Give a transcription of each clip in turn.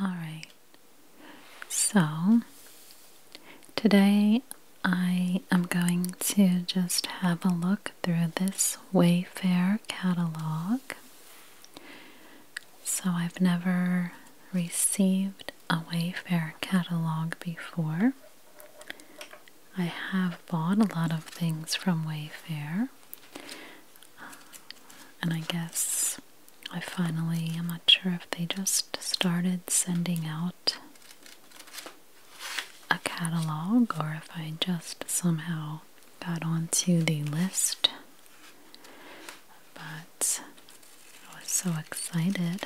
Alright, so today I am going to just have a look through this Wayfair catalog. So I've never received a Wayfair catalog before. I have bought a lot of things from Wayfair, and I guess I finally, I'm not sure if they just started sending out a catalog or if I just somehow got onto the list. But I was so excited.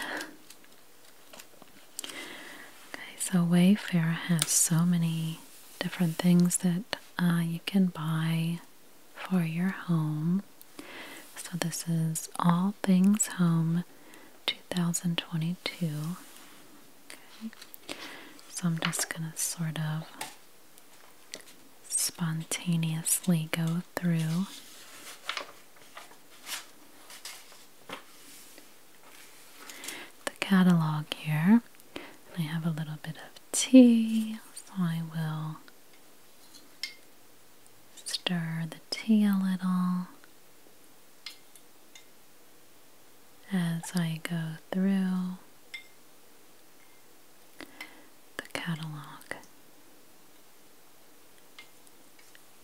Okay, so Wayfair has so many different things that uh, you can buy for your home. So, this is All Things Home 2022. So, I'm just going to sort of spontaneously go through. the Catalog here, I have a little bit of tea, so I will Stir the tea a little as I go through the catalog.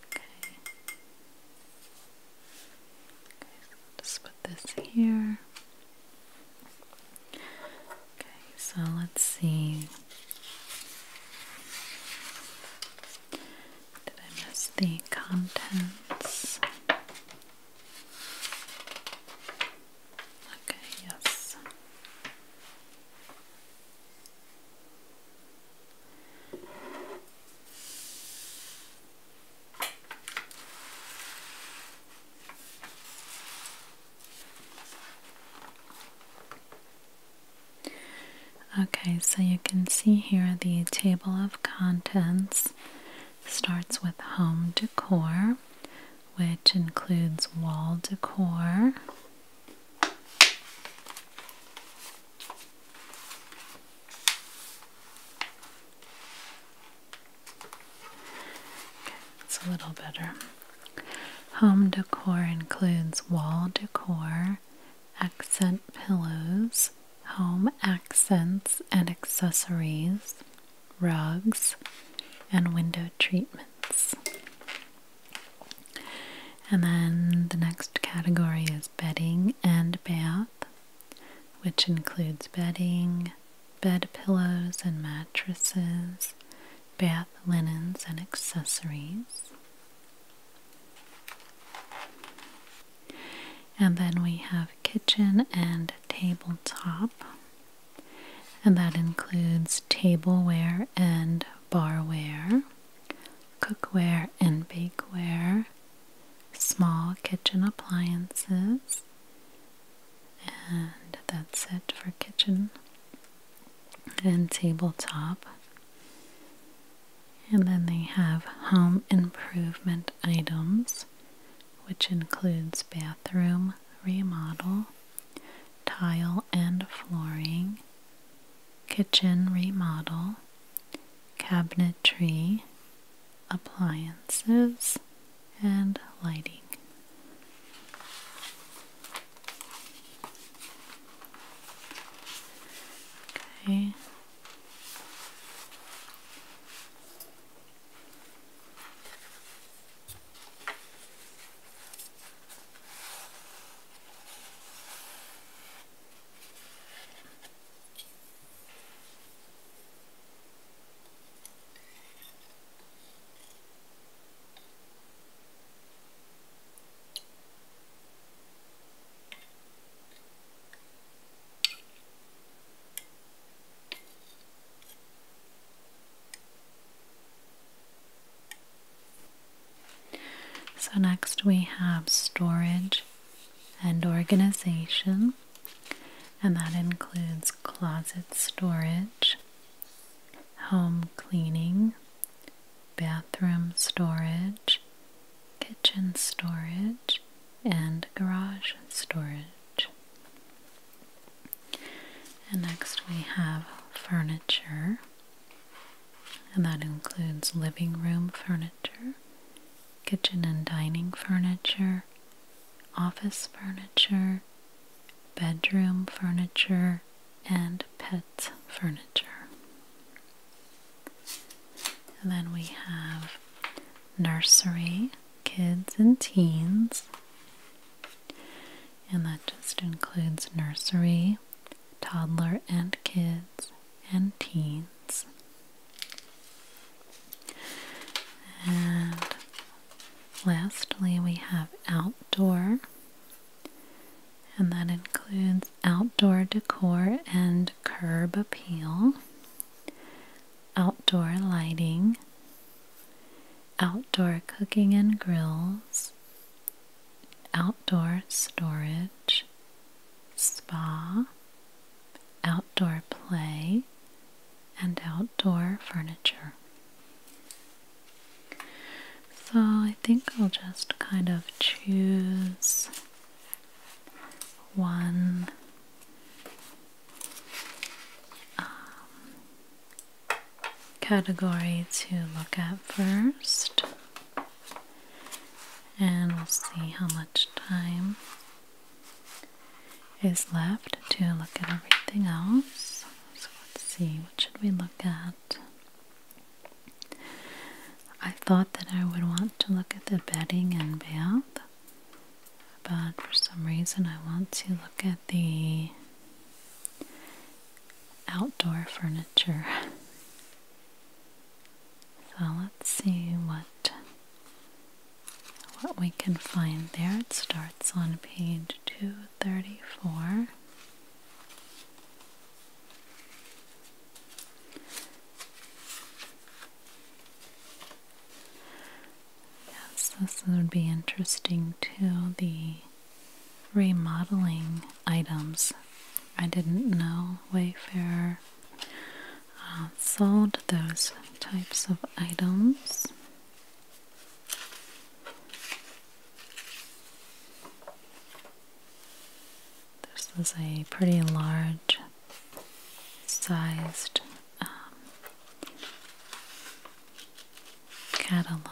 Okay. okay just put this here. Okay, so let's see. Did I miss the contents? Okay, yes. Okay, so you can see here the table of contents starts with home decor, which includes wall decor it's a little better. Home decor includes wall decor, accent pillows, home accents and accessories, rugs, and window treatments. And then the next category is bedding and bath, which includes bedding, bed pillows and mattresses, bath linens and accessories. And then we have kitchen and tabletop, and that includes tableware and barware, cookware and bakeware, small kitchen appliances, and that's it for kitchen and tabletop. And then they have home improvement items, which includes bathroom remodel, tile and flooring, kitchen remodel, cabinetry, appliances, and lighting. Okay. So next we have storage and organization and that includes closet storage home cleaning, bathroom storage, kitchen storage, and garage storage. next we have furniture, and that includes living room furniture, kitchen and dining furniture, office furniture, bedroom furniture, and pet furniture. And then we have nursery, kids and teens. And that just includes nursery, toddler and kids, and teens. And Lastly, we have outdoor, and that includes outdoor decor and curb appeal, outdoor lighting, outdoor cooking and grills, outdoor storage, spa, outdoor play, and outdoor furniture. So I think I'll just kind of choose one um, category to look at first, and we'll see how much time is left to look at everything else. So let's see, what should we look at? I thought that I would want to look at the bedding and bath, but for some reason I want to look at the outdoor furniture. So let's see what what we can find there. It starts on page 234. Yes, this would be interesting to The remodeling items. I didn't know Wayfarer uh, sold those types of items. This is a pretty large sized um, catalog.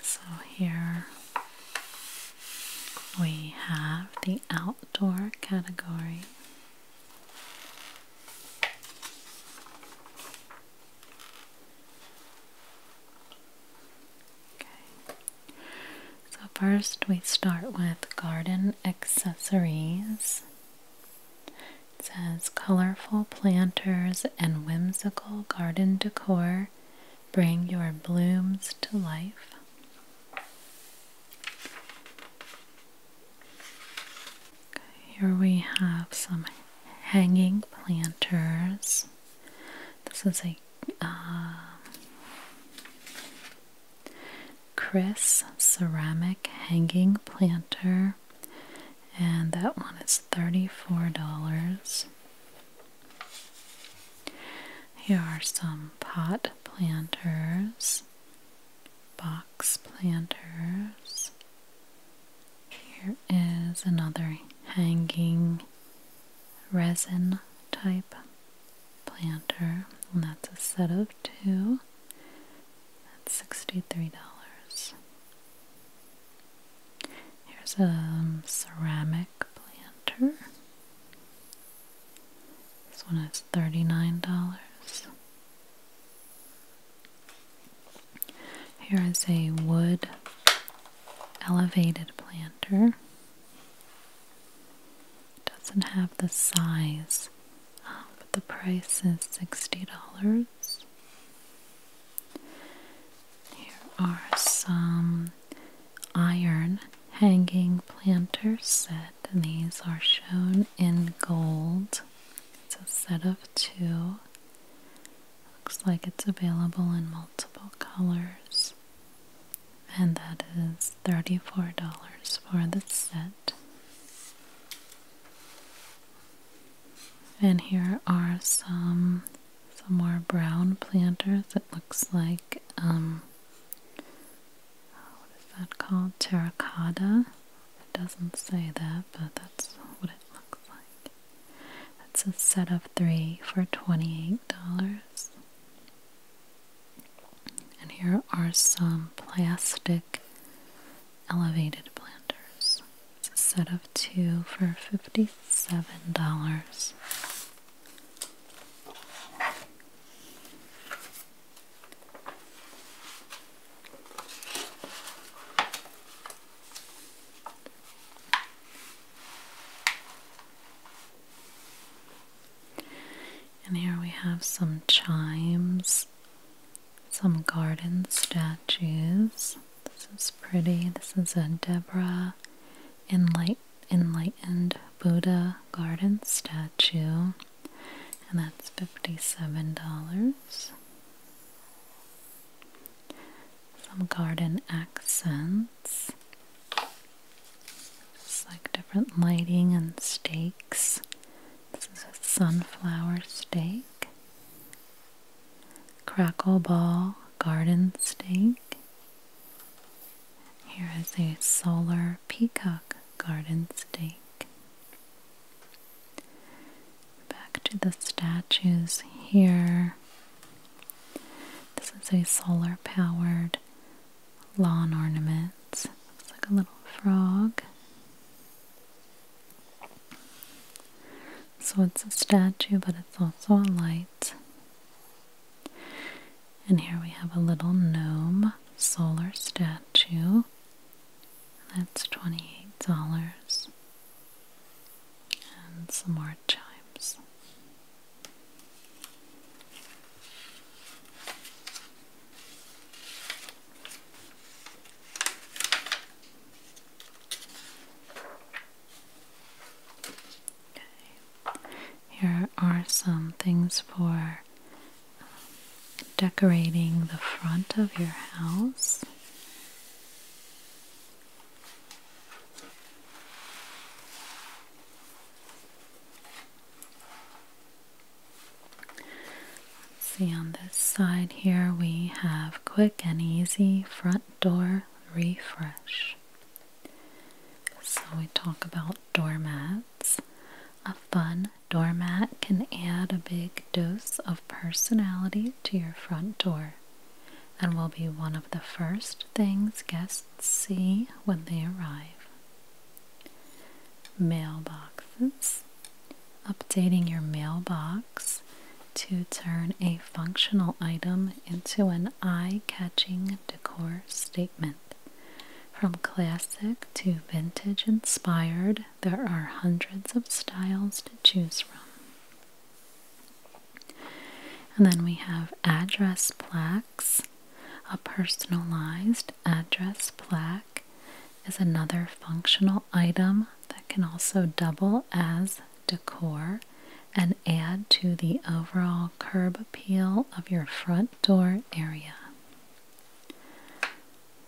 So here we have the outdoor category. Okay. So first we start with garden accessories. It says colorful planters and whimsical garden decor Bring your blooms to life. here we have some hanging planters. This is a um, Chris ceramic hanging planter, and that one is $34. Here are some pot planters, box planters. Here is another hanging resin type planter, and that's a set of two. That's $63. Here's a um, ceramic planter. This one is $39. Here is a wood elevated planter. Doesn't have the size, um, but the price is $60. Here are some iron hanging planters set, and these are shown in gold. It's a set of two. Looks like it's available in multiple colors. And that is $34 for the set. And here are some some more brown planters. It looks like, um, what is that called? Terracotta. It doesn't say that, but that's what it looks like. That's a set of three for $28. And here are some plastic elevated planters set of two for $57. And here we have some chimes, some garden statues. This is pretty. This is a Deborah Enlightened Buddha Garden statue, and that's $57. Some garden accents. It's like different lighting and stakes. This is a sunflower stake crackle ball garden stake. Here is a solar peacock garden stake. Back to the statues here. This is a solar powered lawn ornament. It's like a little frog. So it's a statue, but it's also a light. And here we have a little gnome solar statue. That's $28. And some more chimes. Here are some things for decorating the front of your house. see on this side here we have quick and easy front door refresh. So, we talk about doormats. A fun doormat can add a big dose of personality to your front door and will be one of the first things guests see when they arrive. Mailboxes. Updating your mailbox to turn a functional item into an eye catching decor statement. From classic to vintage inspired, there are hundreds of styles to choose from. And then we have address plaques. A personalized address plaque is another functional item that can also double as decor and add to the overall curb appeal of your front door area.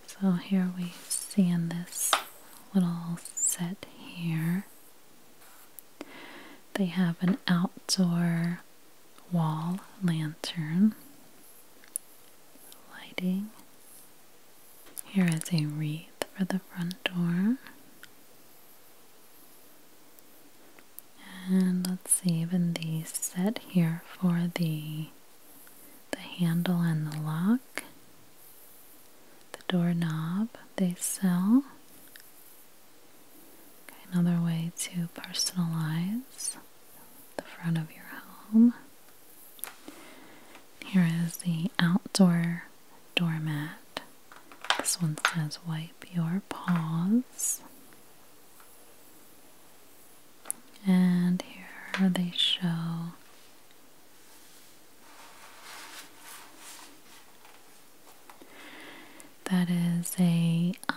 So here we see in this little set here, they have an outdoor wall lantern lighting. Here is a wreath for the front door. And let's see, even the set here for the the handle and the lock, the doorknob they sell. another way to personalize the front of your home. Here is the outdoor doormat. This one says wipe your paws. And here they show that is a, um,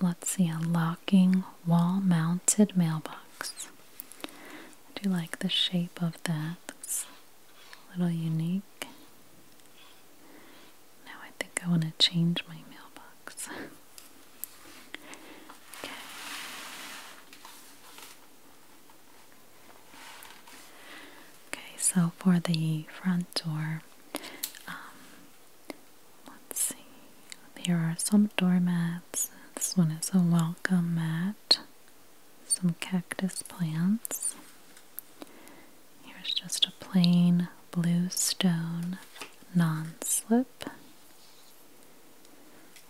let's see, a locking wall mounted mailbox. I do like the shape of that a little unique. Now I think I want to change my mailbox. okay. Okay, so for the front door, um, let's see. Here are some doormats. This one is a welcome mat some cactus plants. Here's just a plain blue stone non slip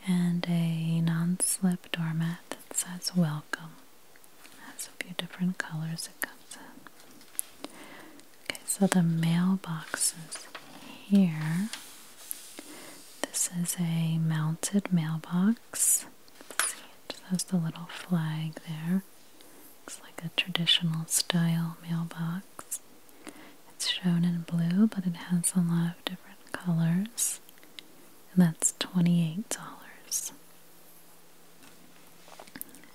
and a non slip doormat that says welcome. That's a few different colors it comes in. Okay, so the mailboxes here. This is a mounted mailbox let just has the little flag there. Looks like a traditional style mailbox. It's shown in blue, but it has a lot of different colors. And that's $28.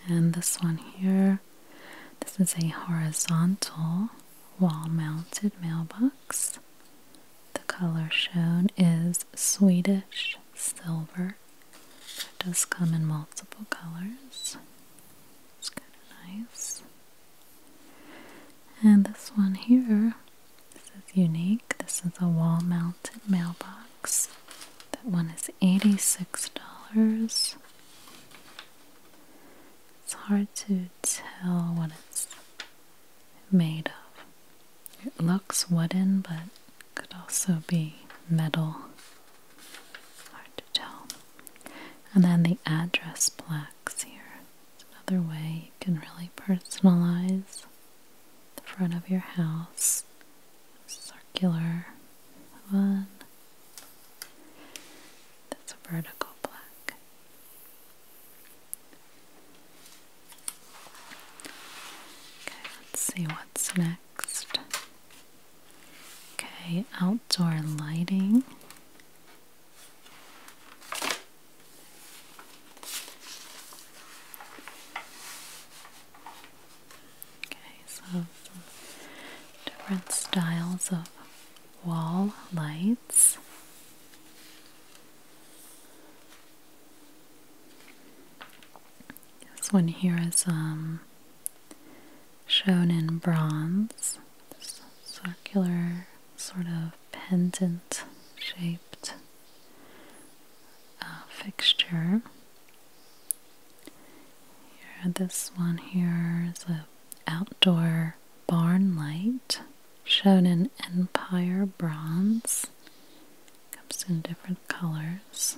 And this one here, this is a horizontal wall mounted mailbox. The color shown is Swedish silver. It does come in multiple colors. It's kind of nice. And this one here, this is unique. This is a wall mounted mailbox. That one is $86. It's hard to tell what it's made of. It looks wooden, but could also be metal. Hard to tell. And then the address plaques here. another way you can really personalize the front of your house. Circular one. That's a vertical plaque. Okay, let's see what's next. Okay, outdoor lighting. Okay, so different styles of wall lights. This one here is um, shown in bronze, this circular sort of pendant shaped uh, fixture. this one here is an outdoor barn light shown in empire bronze Comes in different colors.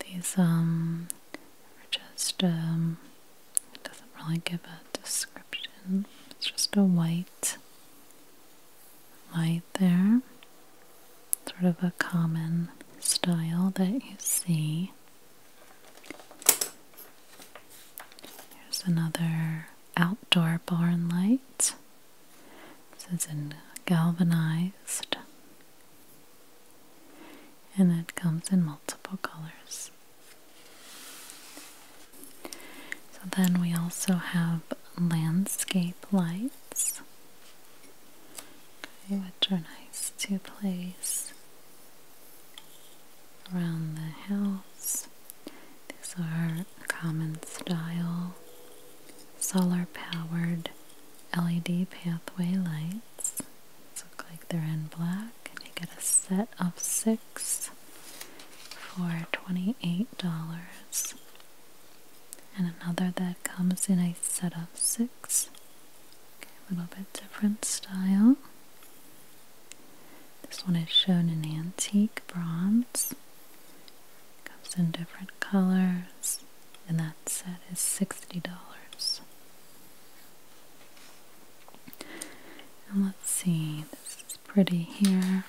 These um are just um it doesn't really give a description. It's just a white light there. Sort of a common style that you see. Here's another outdoor barn lights. This is in galvanized. And it comes in multiple colors. So then we also have landscape lights, which are nice to place around the house these are common style solar powered LED pathway lights. look like they're in black, and you get a set of six for $28. And another that comes in a set of six. a little bit different style. This one is shown in antique bronze. Comes in different colors, and that set is $60. And let's see, this is pretty here.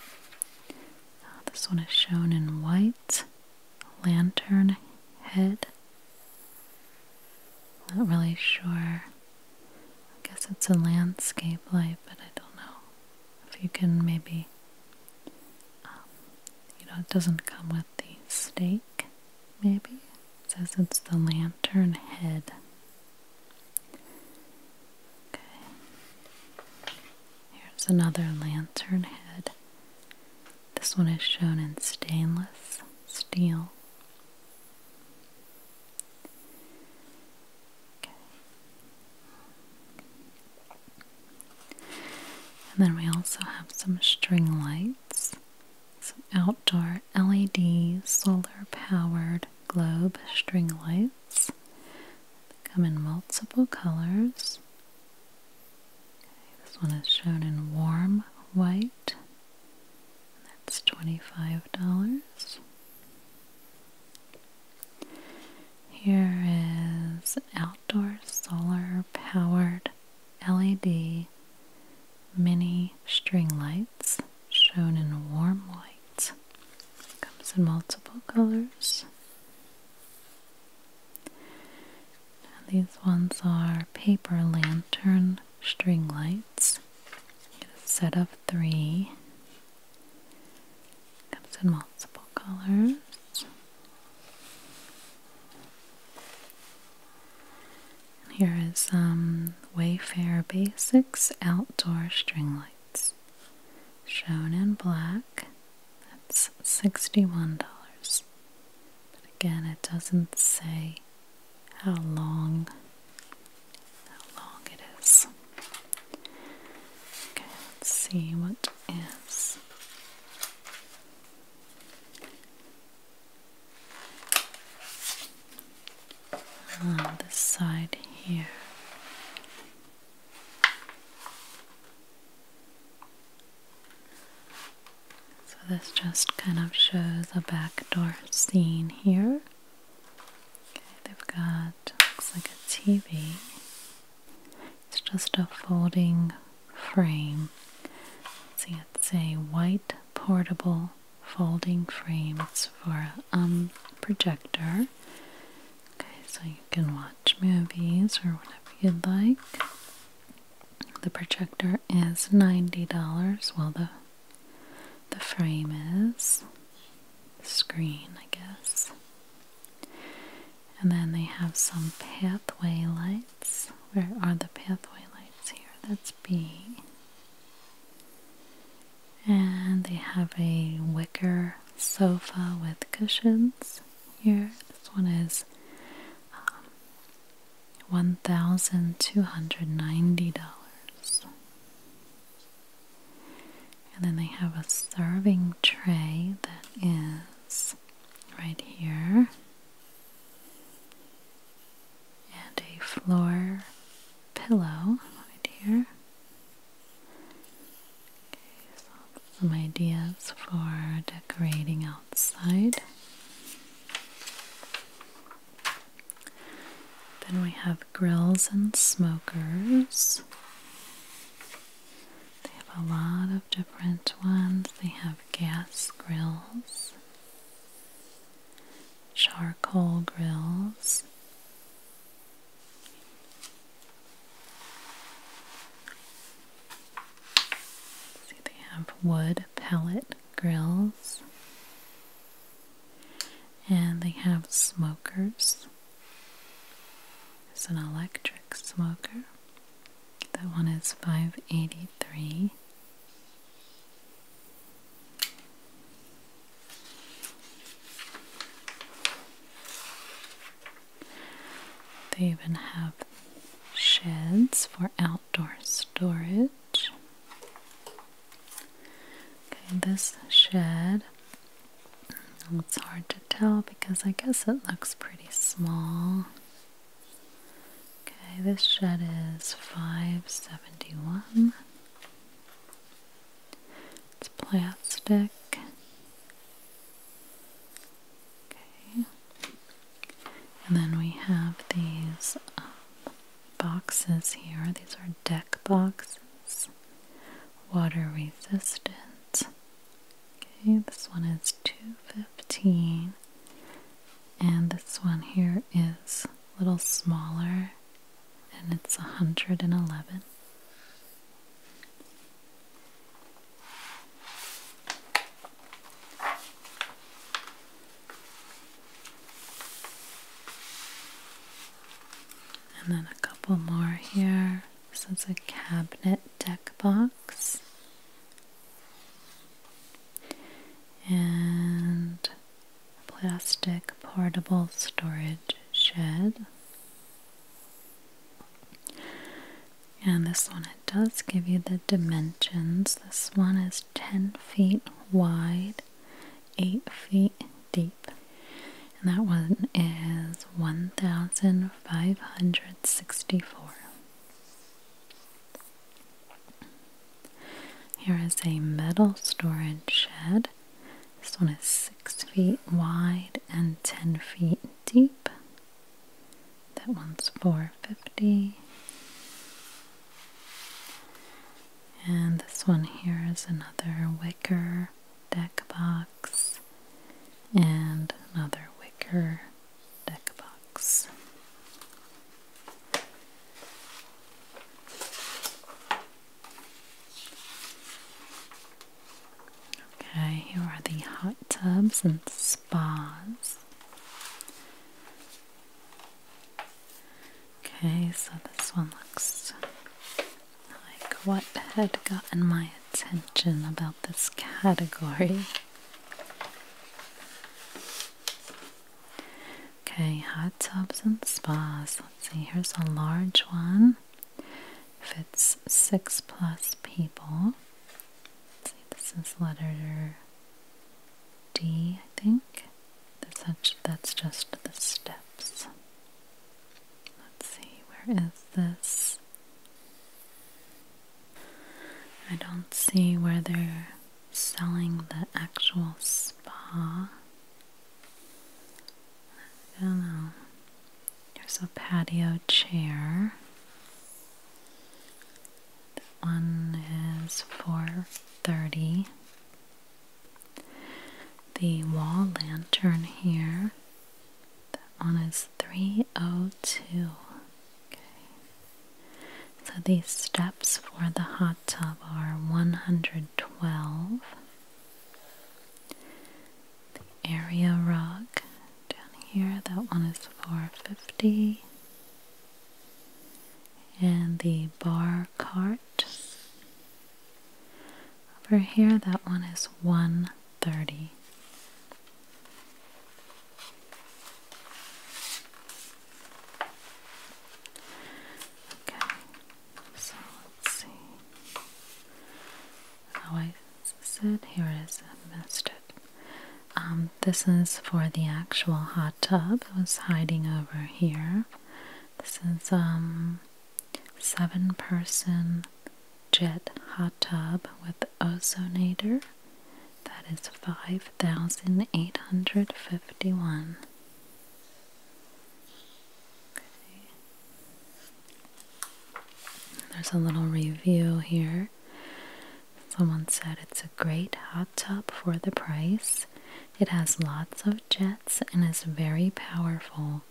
Uh, this one is shown in white, lantern head. Not really sure I guess it's a landscape light, but I don't know if you can maybe, um, you know, it doesn't come with the stake, maybe. says it's the lantern head. Okay. Here's another lantern head. This one is shown in stainless steel. And then we also have some string lights, some outdoor LED solar powered globe string lights. come in multiple colors. this one is shown in warm white. That's $25. Here is outdoor solar powered LED mini string lights shown in warm white. Comes in multiple colors. these ones are paper lantern string lights. Get a set of three Comes in multiple colors. here is some Wayfair Basics Outdoor String Lights, shown in black. That's $61. again, it doesn't say how long how long it is. Okay, let's see what is. On this side here. So, this just kind of shows a backdoor scene here they've got looks like a TV. It's just a folding frame. see, it's a white portable folding frame. It's for a um, projector. Okay, so you can watch movies or whatever you'd like. The projector is $90. Well, the the frame is, screen, I guess. And then they have some pathway lights. Where are the pathway lights here? That's B. And they have a wicker sofa with cushions here. This one is um, $1,290. And then they have a serving tray that is right here, and a floor pillow right here. Okay, some ideas for decorating outside. Then we have grills and smokers. They have a lot of different ones. They have gas grills, charcoal grills. See, they have wood pellet grills. And they have smokers. It's an electric smoker. That one is 583. They even have sheds for outdoor storage. Okay, this shed, it's hard to tell because I guess it looks pretty small. Okay, this shed is 571. It's plastic. Okay. And then we have these um, boxes here. These are deck boxes, water resistant. Okay, this one is 215 and this one here is a little smaller and it's 111. And then a couple more here. This is a cabinet deck box. And a plastic portable storage shed. And this one, it does give you the dimensions. This one is 10 feet wide eight feet deep. And that one is 1,564. Here is a metal storage shed. This one is 6 feet wide and 10 feet deep. That one's 450. And this one here is another wicker deck box and another wicker deck box. Okay, here are the hot tubs and spas. Okay, so this one looks like what had gotten my attention about this category. Okay, hot tubs and spas. Let's see, here's a large one. Fits six plus people. Let's see, this is letter D, I think. That's, just the steps. Let's see, where is this? I don't see where they're selling the actual spa. I don't know. There's a patio chair. That one is 430. The wall lantern here, that one is 302. Okay. So these steps for the hot tub are 112. The area rug down here, that one is 450. And the bar cart over here, that one is 130. Okay, so let's see. Oh, I said here is, I missed Um, this is for the actual hot tub. It was hiding over here. This is, um, seven person jet hot tub with ozonator. That is 5,851. Okay. There's a little review here. Someone said it's a great hot tub for the price. It has lots of jets and is very powerful.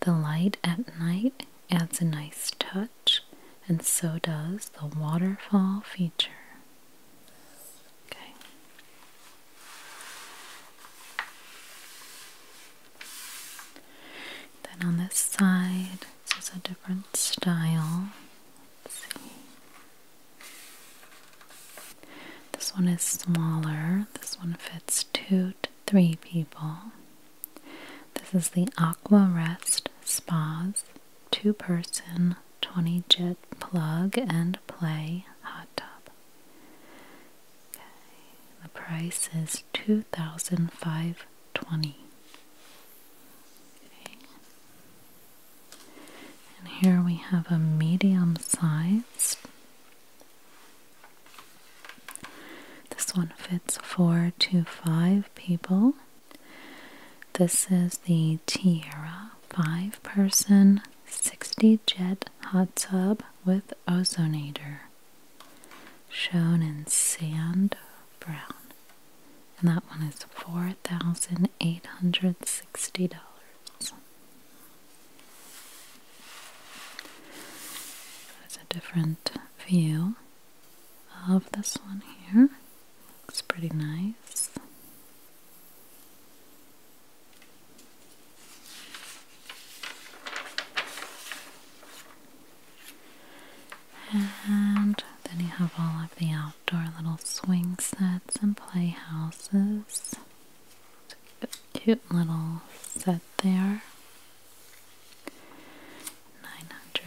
The light at night adds a nice touch, and so does the waterfall feature. Okay. Then on this side, this is a different style. Let's see. This one is smaller. This one fits two to three people. This is the Aqua Rest Spas two person 20 jet plug and play hot tub. The price is 2520. And here we have a medium sized this one fits four to five people. This is the Tierra five person 60 jet hot tub with ozonator, shown in sand brown. And that one is $4,860. That's a different view of this one here. It's pretty nice. And then you have all of the outdoor little swing sets and playhouses cute little set there.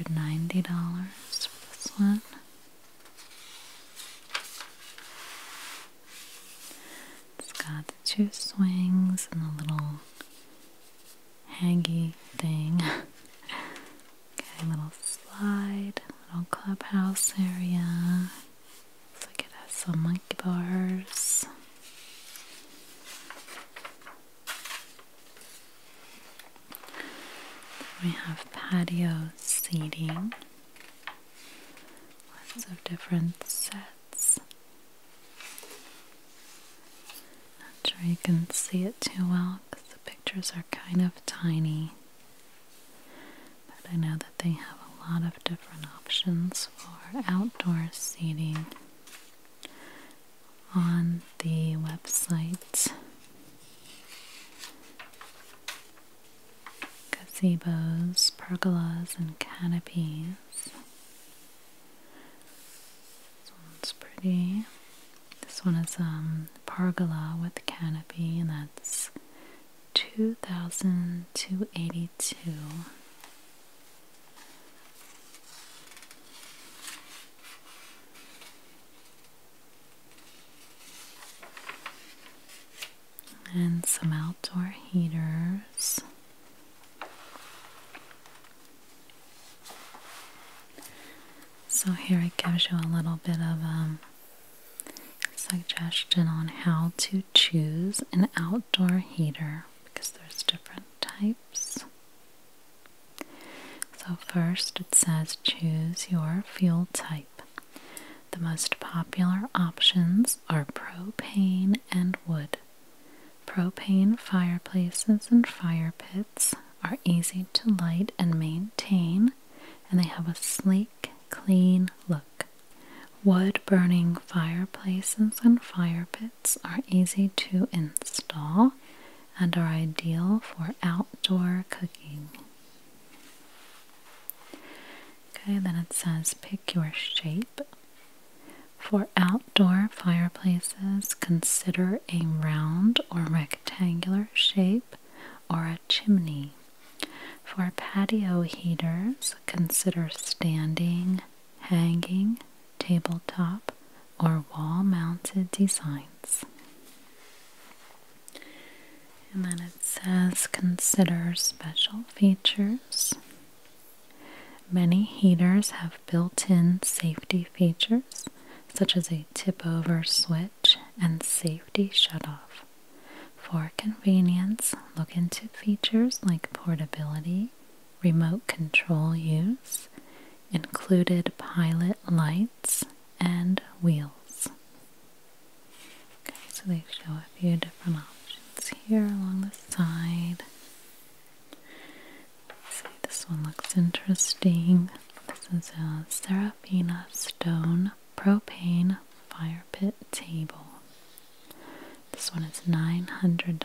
$990 for this one. It's got the two swings and the little hangy thing. okay, little slide, little clubhouse area. Looks like it has some monkey bars. we have patio seating. Lots of different sets. Not sure you can see it too well because the pictures are kind of tiny but I know that they have a lot of different options for outdoor seating on the website. Gazebos, pergolas, and canopies. This one's pretty. This one is a um, pergola with canopy, and that's 2282 and some outdoor heaters so here it gives you a little bit of um, suggestion on how to choose an outdoor heater because there's different types. So first it says choose your fuel type. The most popular options are propane and wood. Propane fireplaces and fire pits are easy to light and maintain and they have a sleek, clean look. Wood burning fireplaces and fire pits are easy to install and are ideal for outdoor cooking. Okay, then it says pick your shape. For outdoor fireplaces, consider a round or rectangular shape or a chimney. For patio heaters, consider standing, hanging, tabletop, or wall mounted designs. And then it says consider special features. Many heaters have built in safety features, such as a tip over switch and safety shut-off. For convenience, look into features like portability, remote control use, included pilot lights, and wheels. Okay, so they show a few different options here along the side. See, this one looks interesting. This is a Serafina stone propane fire pit table. This one is $900.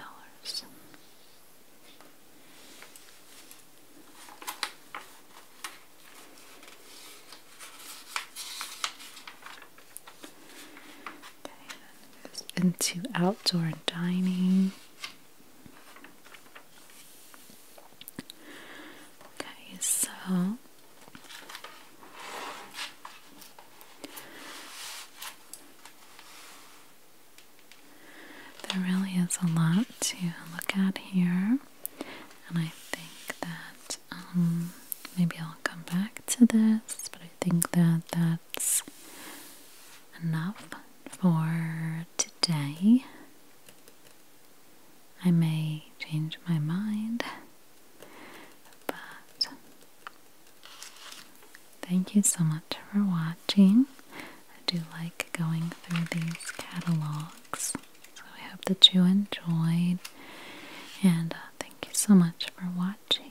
Okay, goes into outdoor dining. Okay, so there really is a lot to look at here, and I think that um, maybe I'll come back to this, but I think that that's enough for today. I may change my mind. But thank you so much for watching. I do like going through these catalogs. So I hope that you enjoyed. And uh, thank you so much for watching.